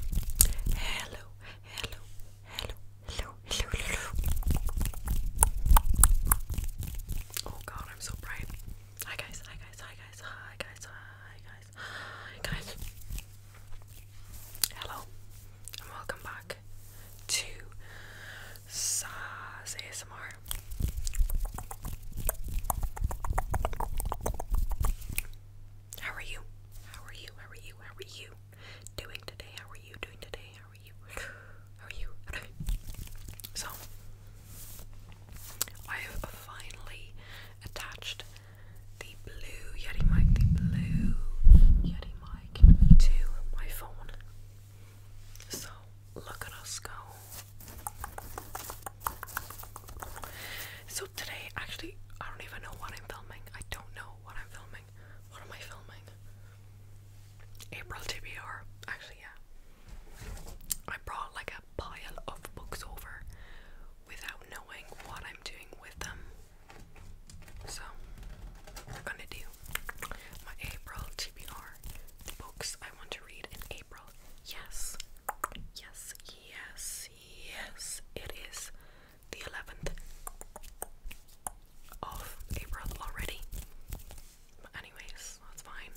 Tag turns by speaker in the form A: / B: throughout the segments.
A: hello, hello, hello, hello, hello, hello. Oh god, I'm so bright. Hi guys, hi guys, hi guys, hi guys, hi guys, hi guys. Hello, and welcome back to Saz ASMR. How are you? How are you? How are you? How are you doing today? How are you doing today? How are you? How are you? So, I have finally attached the blue Yeti mic, the blue Yeti mic to my phone. So, look at us go. So, today, actually, I don't even know what I'm filming. I don't know what I'm filming. What am I filming? April TBR. Actually, yeah. I brought like a pile of books over without knowing what I'm doing with them. So, we're gonna do my April TBR. books I want to read in April. Yes, Yes, yes, yes. It is the 11th of April already. But, anyways, that's fine.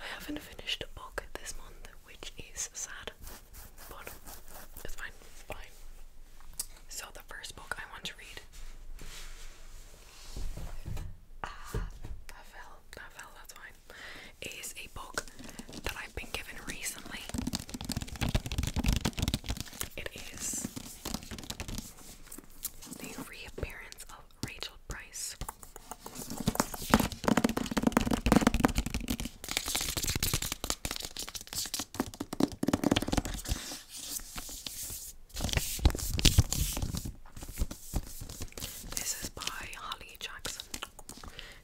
A: I haven't finished a book this month, which is sad, but it's fine. It's fine. So, the first book I want to read. Ah, that fell. That fell. That's fine is a book that I've been given recently. It is The Reappearance of Rachel Price. This is by Holly Jackson.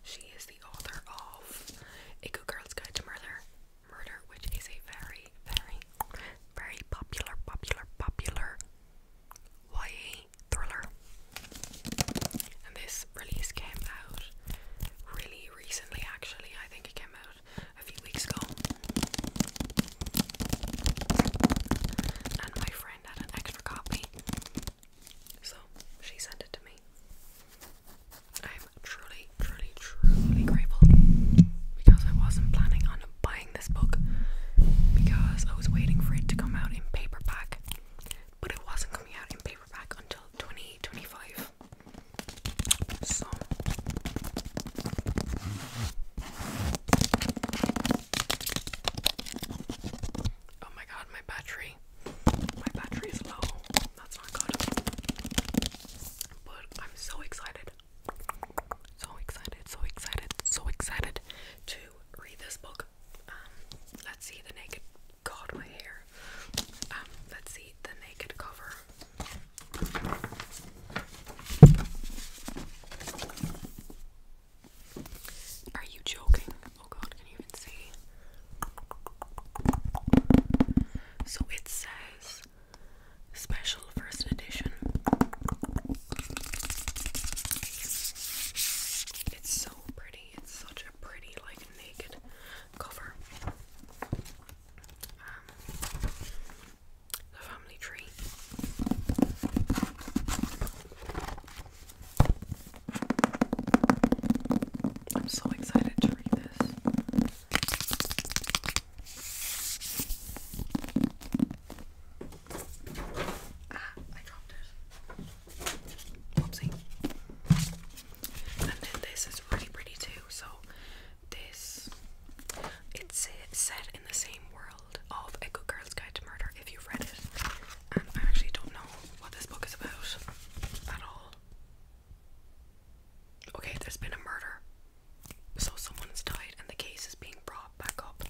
A: She is the author of A Good Girl's Guide to Murder, Murder, which is a very, very, very popular, popular, popular YA thriller. And this release came out really recently, actually. I think it came out a few weeks ago. And my friend had an extra copy so she sent it to me. I'm truly, truly, truly grateful because I wasn't planning on buying this book because I was waiting for it to come out in paperback, but it wasn't coming out in paperback until 2025. So. Oh my god, my battery. My battery is low. That's not good. But I'm so excited. So excited, so excited, so excited to read this book. Um, let's see the naked god my hair. Um, let's see the naked cover. Are you joking? Oh god, can you even see? So it says special first edition. It's so pretty. It's such a pretty like naked cover. Um, tree. I'm so excited to read this. Ah, I dropped it. Oopsie. And then this is really pretty too. So this it's set in the same world of A Good Girl's Guide to Murder if you've read it. Um, I actually don't know what this book is about at all. Okay, there's been a murder. So someone's died and the case is being brought back up.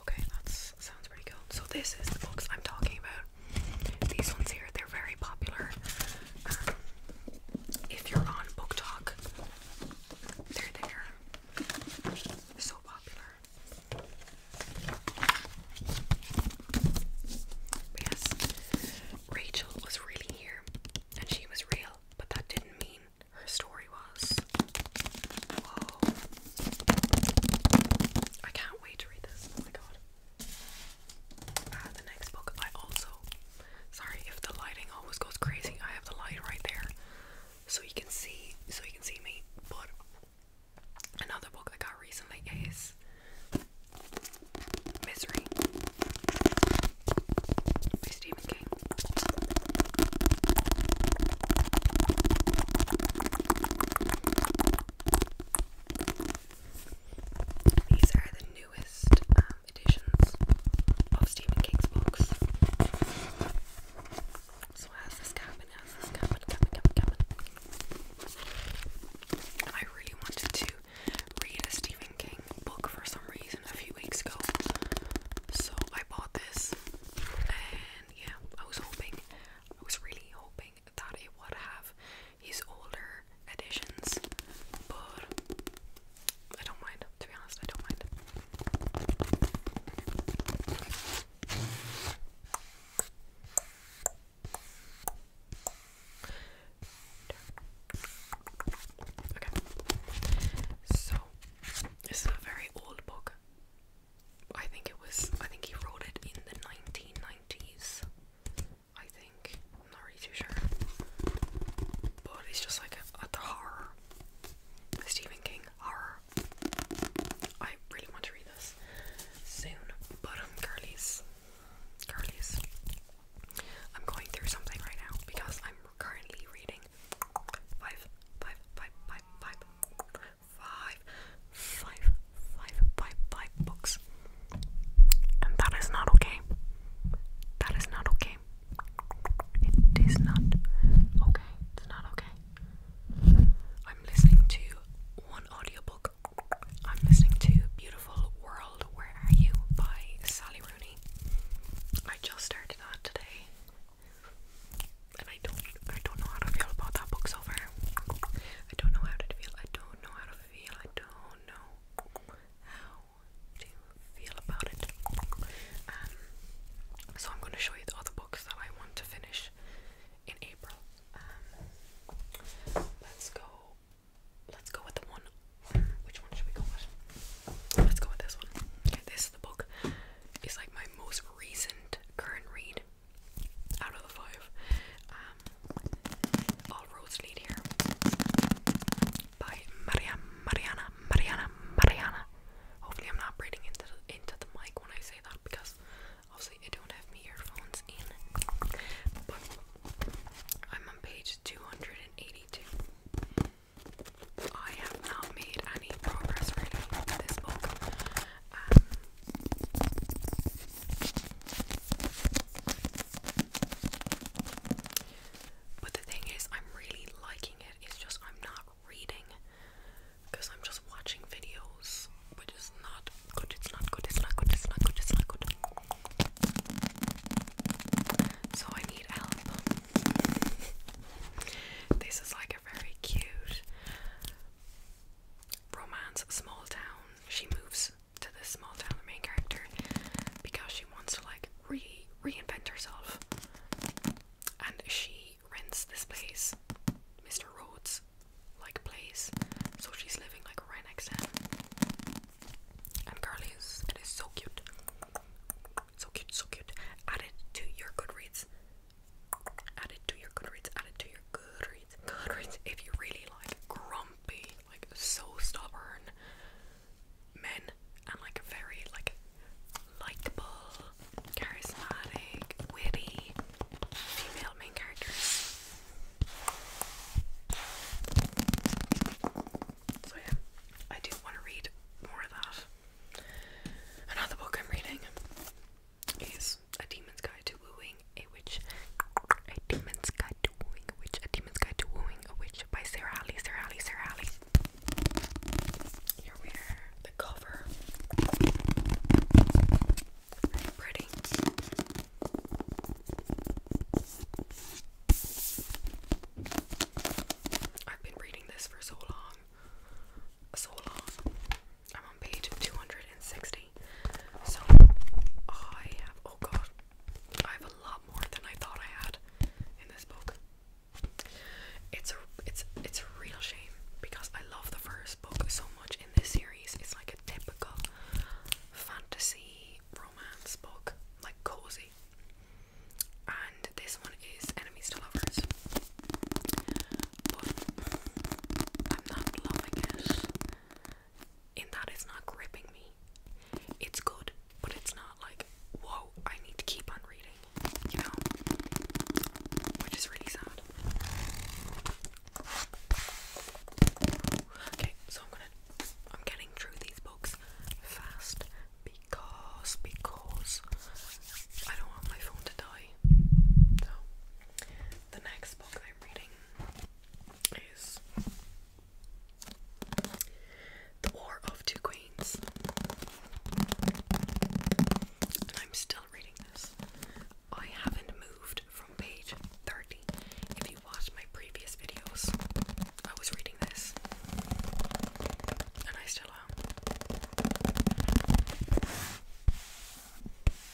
A: Okay, that sounds pretty cool. So this is the books I'm talking about. These ones here, they're very popular. Um, if you're on Book Talk, they're there they so popular. yes, Rachel was really here and she was real, but that didn't mean her story was. Whoa. I can't wait to read this. Oh my god. Uh, the next book I also sorry if the lighting always goes crazy. I have the light right there so you can see so you can see me. But another book I got recently is Misery by Stephen King. These are the newest um, editions of Stephen King's books. So how's this cabin? How's this cabin? Cabin, cabin, cabin. I really wanted to read a Stephen King book for some reason a few weeks ago. So I bought this and yeah, I was hoping, I was really hoping that it would have his older editions, but I don't mind, to be honest, I don't mind. Okay. So this is a very old book. I think it was I think he wrote it in the nineteen nineties. I think. not really sure. But it's just like a, horror the Stephen King horror. I really want to read this soon, but um, girlies, I'm going through something right now because I'm currently reading five, five, five, five, five, five, five, five, five, five books, and that is not okay. That is not okay. It is not okay. It's not okay. I'm listening to one audiobook. I'm listening to Beautiful World Where Are You by Sally Rooney. I just started that today. And I don't I don't know how to feel about that book so I don't know how to feel. I don't know how to feel. I don't know to feel about it. Um, so I'm going to show you the other books that I want to finish in April. Um, let's go. Let's go with the one. Which one should we go with? Let's go with this one. Okay, this the book is like my most recent current read out of the five. Um, all here by Mariana Mariana Mariana Mariana. Hopefully I'm not breathing into the, into the mic when I say that because obviously I don't have earphones in. But I'm on page 282. I have not made any progress reading this book. Um, but the thing is, I'm really liking it. It's just I'm not reading because I'm just watching videos, which is not good. It's not good. It's not good. It's not good. It's not good. So I need help. This is like a very cute romance small town. She moves to this small town, the main character, because she wants to like re reinvent herself. And she rents this place, Mr. Rhodes, like place. So she's living like right next to him. And Carly is it is so cute. So cute, so cute. Add it to your Goodreads. Add it to your Goodreads. Add it to your Goodreads. Goodreads. If you really like grumpy, like so stubborn, men and like very like likable, charismatic, witty female main characters. So yeah, I do want to read more of that. Another book I'm reading is A Demon's Guide to Wooing a Witch. A Demon's Guide to Wooing a Witch. A Demon's Guide to Wooing a Witch by Sarah Alley, Sarah Alley, Sarah Alley. Here we are, the cover. pretty. I've been reading this for so long. So long. I'm on page 260. So I have, oh god, I have a lot more than I thought I had in this book. It's a it's it's a real shame because I love the first book so much in this series. It's like a typical fantasy romance book, like cozy. And this one is enemies to lovers. I'm not loving it and that is not gripping me. It's good, but it's not like, whoa, I need to keep on reading, you know? Which is really sad. Okay, so I'm gonna I'm getting through these books fast because because I don't want my phone to die. So the next book I'm reading is The War of Two Queens. I'm still reading this. I haven't moved from page 30. If you watched my previous videos, I was reading this. And I still am.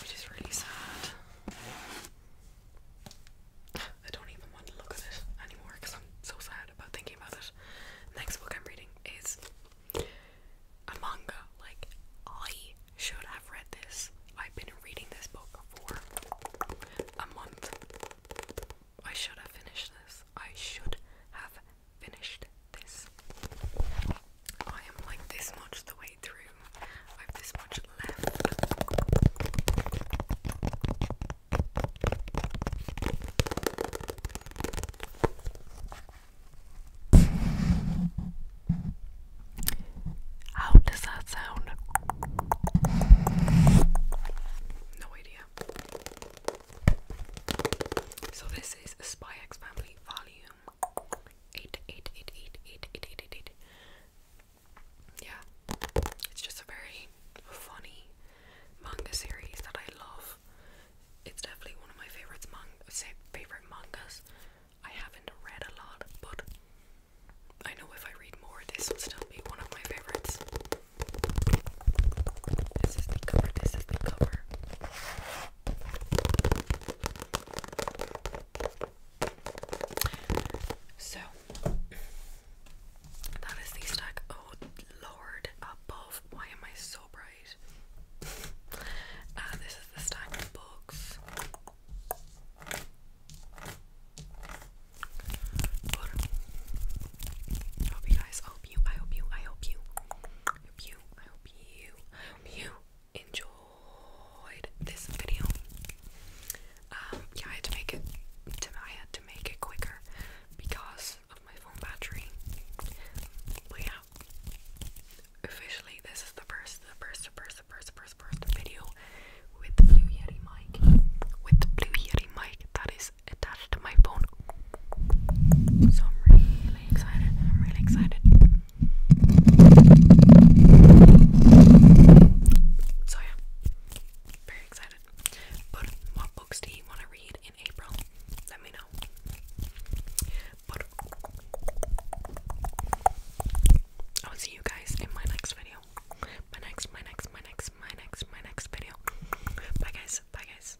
A: which is really sad. I don't even want to look at it anymore because I'm so sad about thinking about it. Next book I'm reading is a manga. Like, I should have read this. I've been reading this book for a month. I should have finished this. I should have finished this. I am like this much the way through. I have this much left. How does that sound? No idea. So this is a X Family Value eight, eight, eight, eight, eight, eight, eight, eight, eight. Yeah, it's just a very funny manga series that I love. It's definitely one of my favorites. Manga, favorite mangas. I haven't read a lot, but I know if I read more, this will still be one of my favorites. This is the cover. This is the cover. So that is the stack. Oh lord above. Why am I so bright? Uh, this is the stack of books. hope you guys hope you I hope you I hope you hope you, I hope you, I hope you enjoyed this video. Um, yeah, I had to make it, I had to make it quicker because of my phone battery. yeah, officially this is the first, the first, the first, the first, the first video with the Blue Yeti mic, with the Blue Yeti mic that is attached to my phone so I'm really excited. I'm really excited. So yeah, very excited. But what books do you want to read in April? Let me know. But I will see you guys in my next video. My next, my next, my next, my next, my next video. Bye guys. Bye guys.